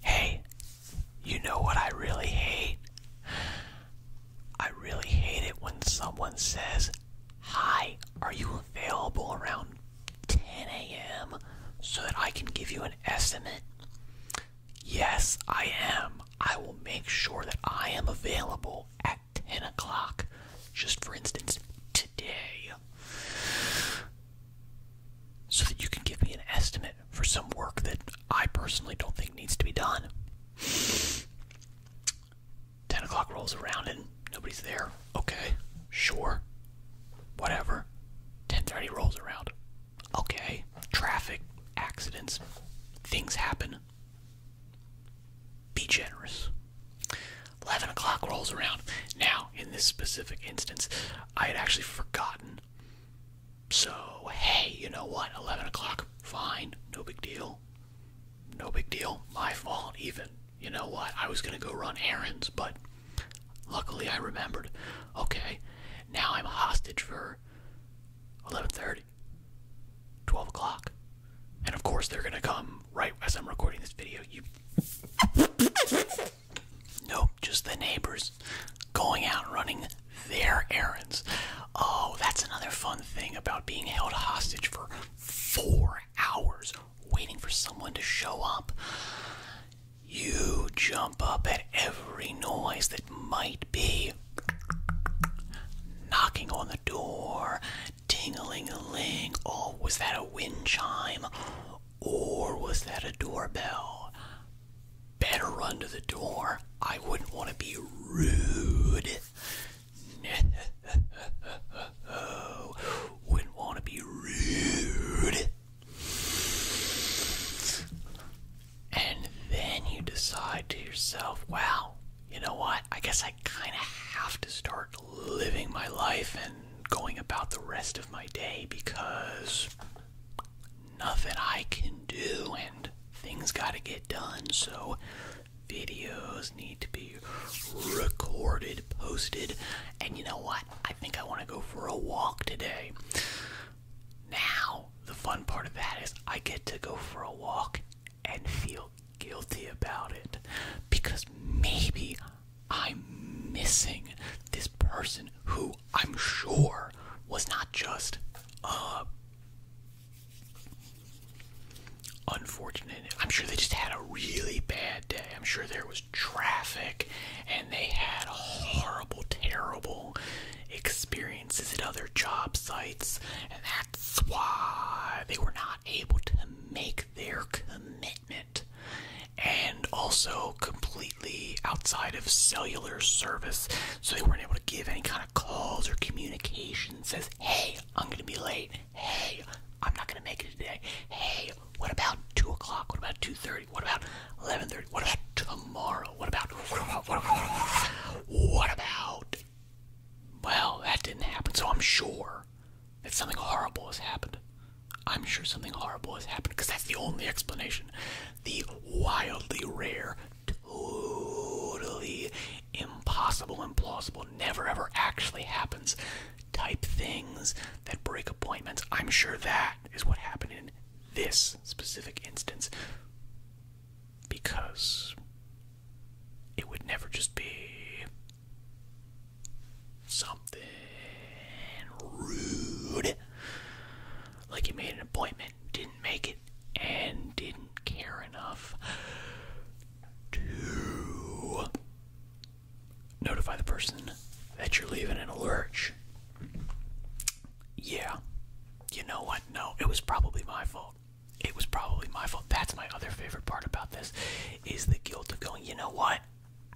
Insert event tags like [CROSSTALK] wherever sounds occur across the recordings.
Hey, you know what I really hate? I really hate it when someone says, Hi, are you available around 10 a.m. so that I can give you an estimate? Yes, I am. I will make sure that I am available at 10 o'clock. Just for instance, today so that you can give me an estimate for some work that I personally don't think needs to be done. 10 o'clock rolls around and nobody's there. Okay, sure. Whatever. 10:30 rolls around. Okay. Traffic, accidents, things happen. Be generous. 11 o'clock rolls around. Now, in this specific instance, I had actually forgotten. So, hey, you know what? 11 o'clock, fine, no big deal. No big deal, my fault, even. You know what? I was gonna go run errands, but luckily I remembered. Okay, now I'm a hostage for 11:30, 12 o'clock, and of course they're gonna come right as I'm recording this video. Nope, just the neighbors going out running their errands. Oh, that's another fun thing about being held hostage for four hours waiting for someone to show up. You jump up at every noise that might be knocking on the door, tingling a ling. Oh, was that a wind chime? Or was that a doorbell? Better run to the door. I wouldn't want to be rude. [LAUGHS] wouldn't want to be rude. And then you decide to yourself, wow, you know what? I guess I kind of have to start living my life and going about the rest of my day because nothing I can do and things got to get done. So videos need to be recorded, posted, and you know what? I think I want to go for a walk today. Now, the fun part of that is I get to go for a walk and feel guilty about it because maybe I'm missing this person who I'm sure was not just unfortunate. I'm sure they just had a really bad day. I'm sure there was traffic and they had horrible, terrible experiences at other job sites, and that's why they were not able to make their commitment and also completely outside of cellular service. So they weren't able to give any kind of calls or communication says, hey, I'm going to be late. Hey, I'm not going to make it today. Hey, what about 2 o'clock? What about 2.30? What about 11.30? What about tomorrow? what about, what about, what about? Well, that didn't happen. So I'm sure that something horrible has happened. I'm sure something horrible has happened because that's the only explanation. The wildly rare, totally impossible, implausible, never ever actually happens type things that break appointments. I'm sure that is what happened in this specific instance because it would never just be something rude. Like you made an appointment, didn't make it, and didn't care enough to notify the person that you're leaving in a lurch. Yeah. You know what? No, it was probably my fault. It was probably my fault. That's my other favorite part about this is the guilt of going, you know what?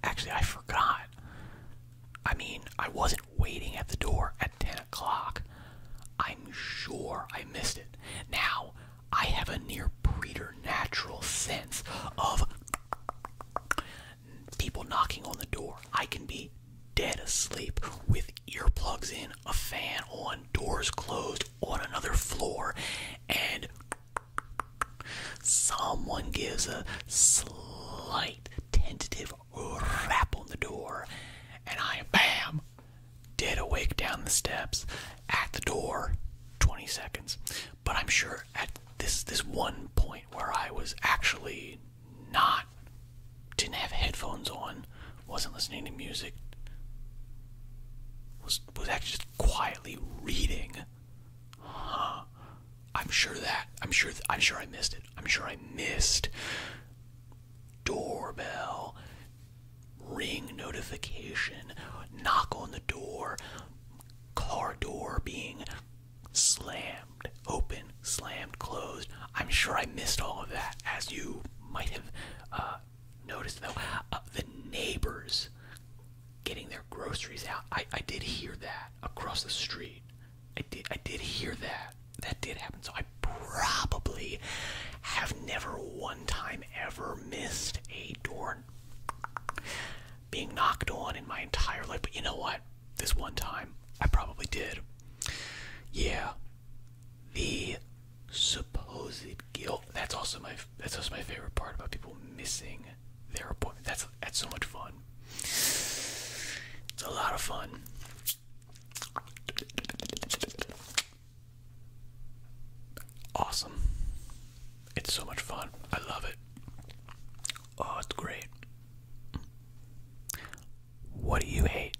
Actually, I forgot. I mean, I wasn't waiting at the door at 10 o'clock. I'm sure I missed it. Now, I have a near preternatural sense of people knocking on the door. I can be dead asleep with earplugs in, a fan on, doors closed, on another floor and someone gives a slight tentative rap on the door and I bam dead awake down the steps at the door 20 seconds but I'm sure at this this one point where I was actually not didn't have headphones on wasn't listening to music was was actually just quietly reading. Huh. I'm sure that I'm sure I'm sure I missed it. I'm sure I missed doorbell, ring notification, knock on the door, car door being slammed, open, slammed, closed. I'm sure I missed all of that as you might have uh, notice though uh, the neighbors getting their groceries out. I I did hear that across the street. I did I did hear that. That did happen. So I probably have never one time ever missed a door being knocked on in my entire life. But you know what? This one time I probably did. Yeah the supposed guilt. That's also my that's also my favorite part about people missing their appointment. That's that's so much fun. It's a lot of fun. Awesome. It's so much fun. I love it. Oh, it's great. What do you hate?